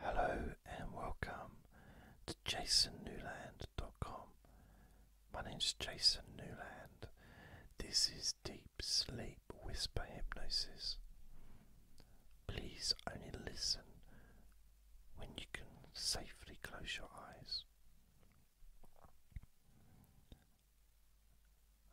Hello and welcome to jasonnewland.com. My name is Jason Newland. This is Deep Sleep Whisper Hypnosis. Please only listen when you can safely close your eyes.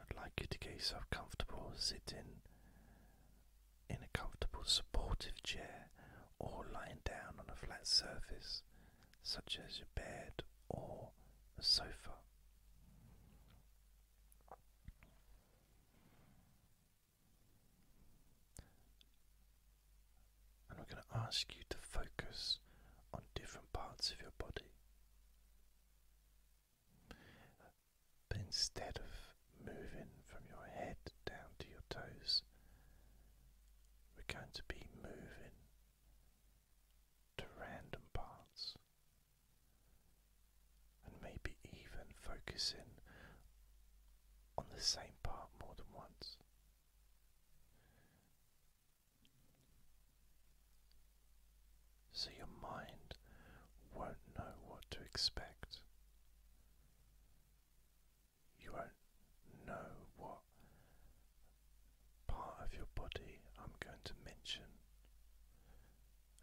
I'd like you to get yourself comfortable, sitting in a comfortable supportive chair or lying down on a flat surface such as your bed or a sofa. And we're going to ask you to focus on different parts of your body. But instead of moving from your head down to your toes, we're going to be moving to random parts and maybe even focusing on the same part more than once. So your mind won't know what to expect you won't know what part of your body I'm going to mention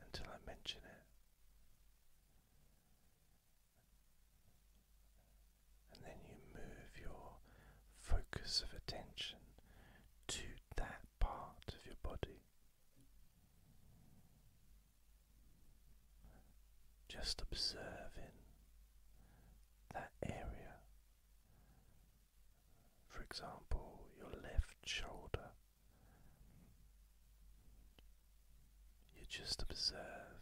until I mention it. And then you move your focus of attention to that part of your body. Just observing that area. For example, your left shoulder. You just observe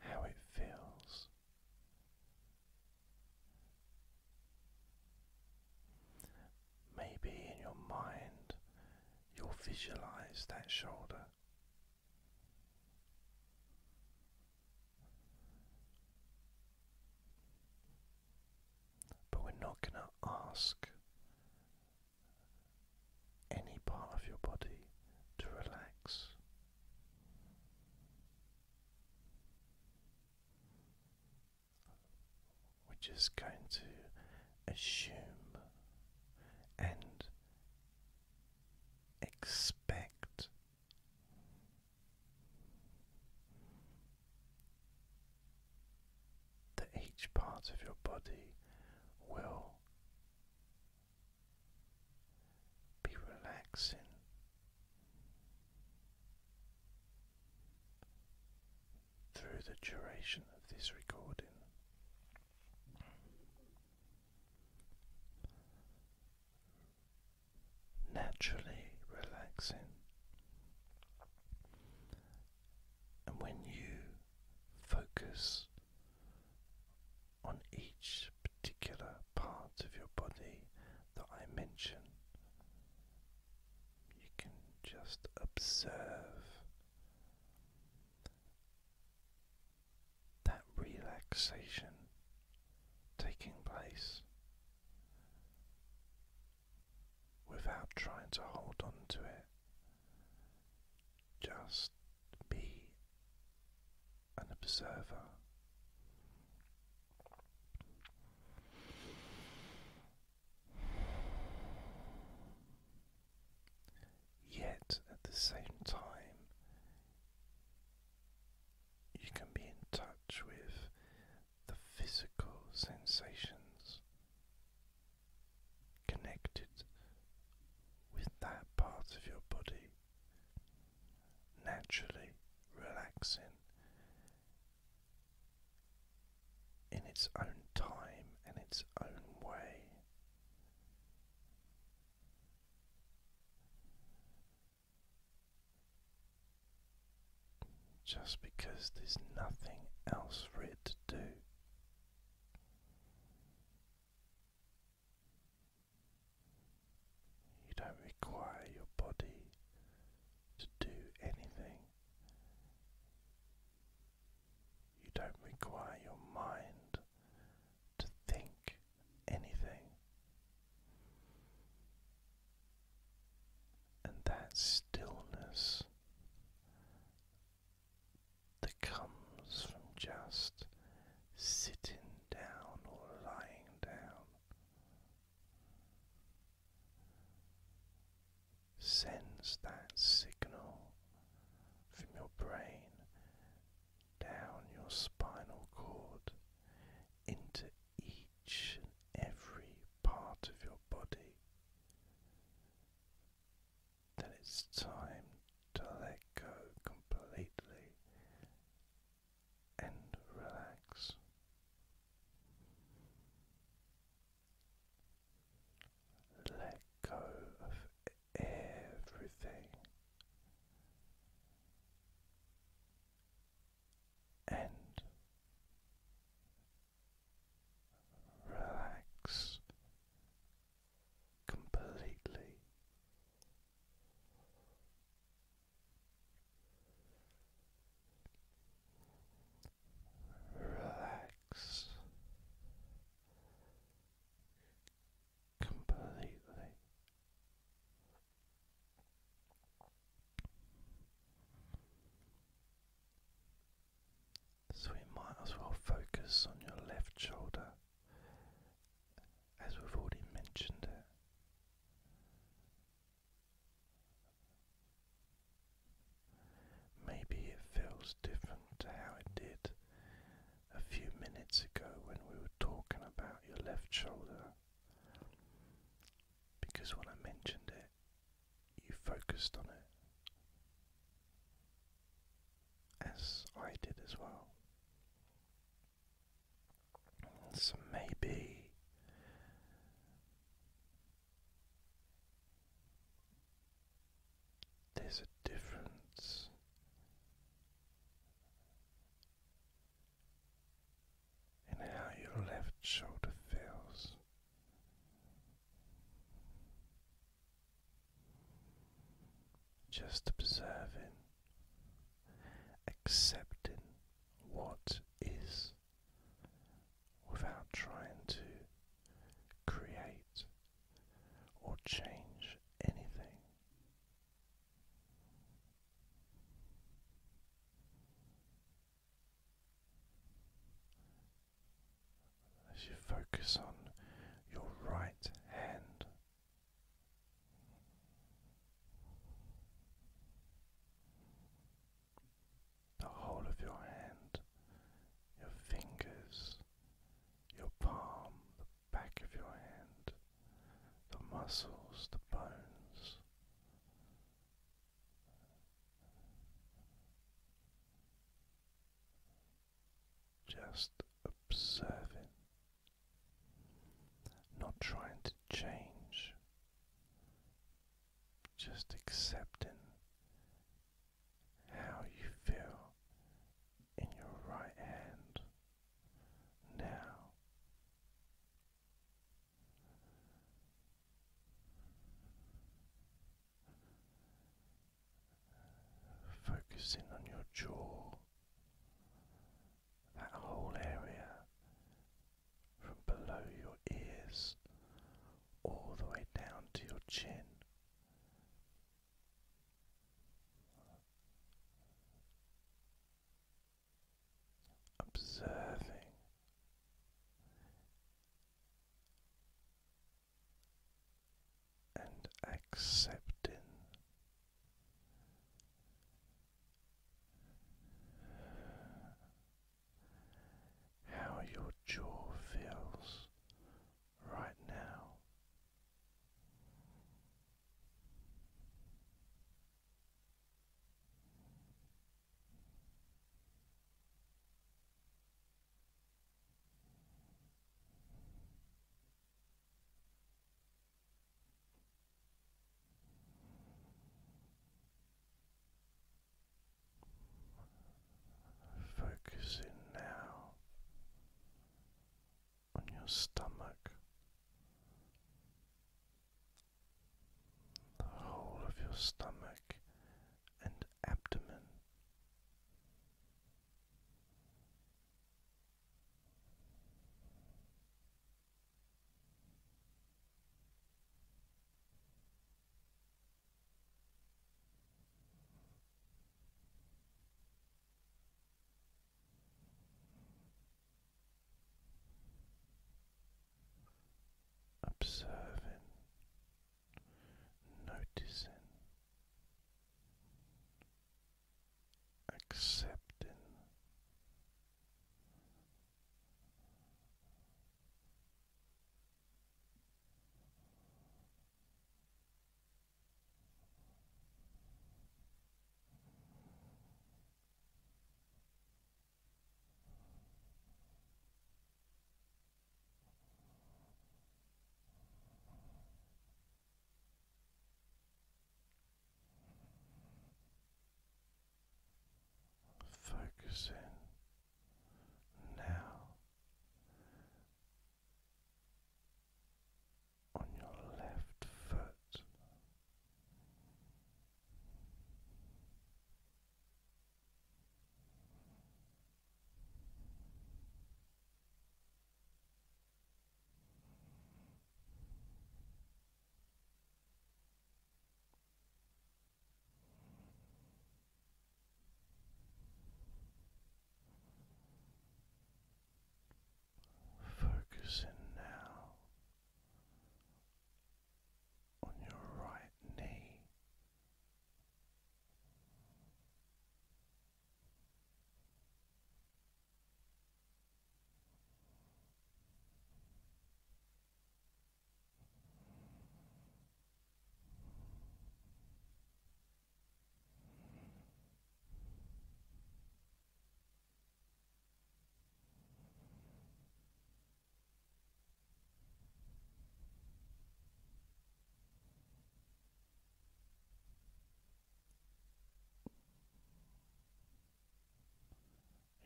how it feels. Maybe in your mind you'll visualize that shoulder. But we're not going to ask any part of your body to relax. We're just going to assume and expect. That each part of your body will be relaxing through the duration of this recording. Naturally relaxing, and when you focus on each particular part of your body that I mention, you can just observe that relaxation taking place without trying to hold on to it. Just be an observer. Yet at the same time, you can be in touch with the physical sensations connected with that part of your body, naturally relaxing in its own time and its own way. Just because there's nothing else for it to do. You don't require your body to do anything. You don't require your mind to think anything. And that stillness that comes from just sitting down or lying down sends that signal from your brain down your spinal cord into each and every part of your body. Then it's time to let go completely and relax. Let go of everything and relax completely relax completely. So we might as well focus on your left shoulder as we've already mentioned it. Maybe it feels different to how it did a few minutes ago when we were talking about your left shoulder. Because when I mentioned it, you focused on it. As I did as well. So maybe there's a difference in how your left shoulder feels. Just observing, accepting what is without trying to create or change anything. As you focus on your right hand, the whole of your hand, your fingers, your palm, the back of your hand, the muscles, the bones. Just observing, not trying to change, just accepting how you feel in your right hand now. Focusing on your jaw, that whole area from below your ears all the way down to your chin. Observing and accepting how your jaw feels right now. Focusing now on your stomach, the whole of your stomach and abdomen. Observing, noticing, accepting, Focusing now on your left foot. Focusing now on your right knee.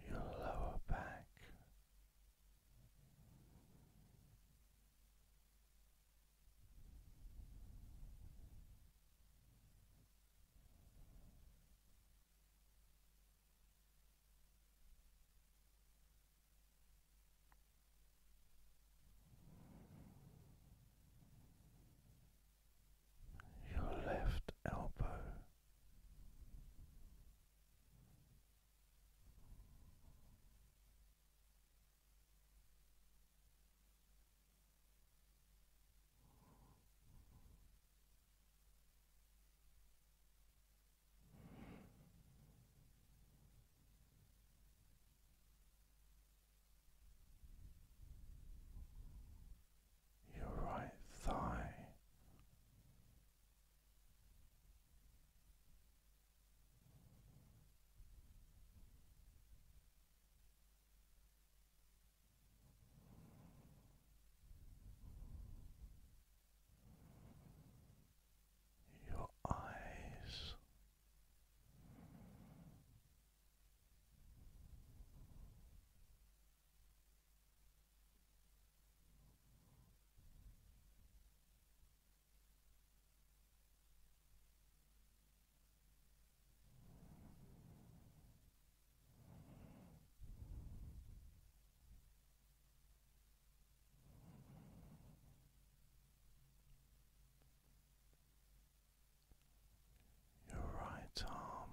Your lower back your left elbow, your right thigh, your eyes. Your right arm,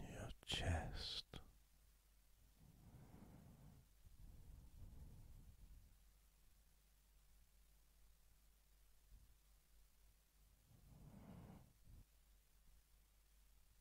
your chest.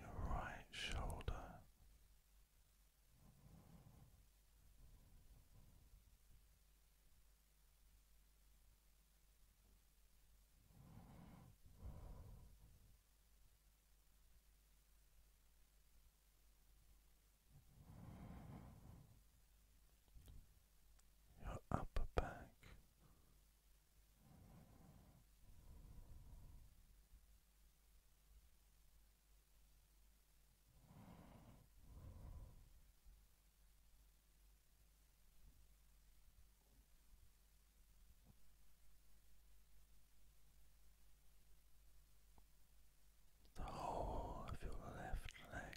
Your right shoulder your upper back the whole of your left leg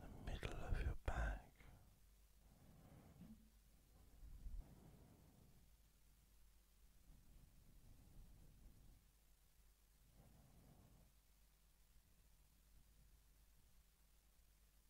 the middle of your back.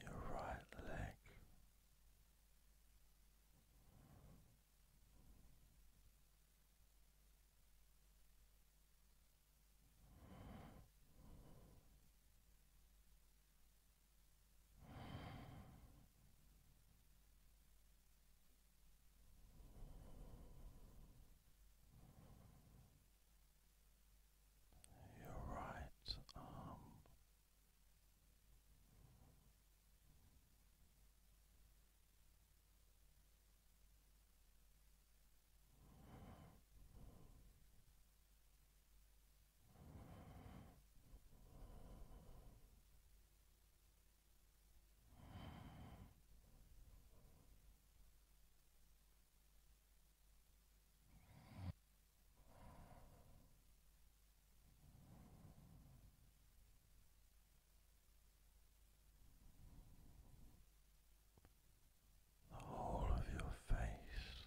your right leg your right arm. The whole of your face.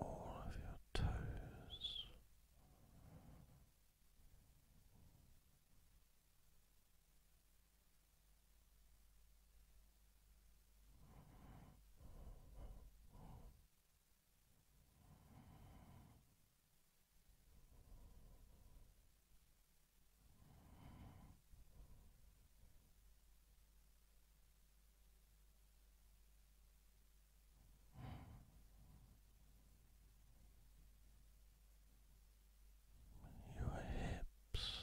all of your toes your hips.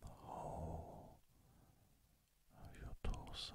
The whole of your torso.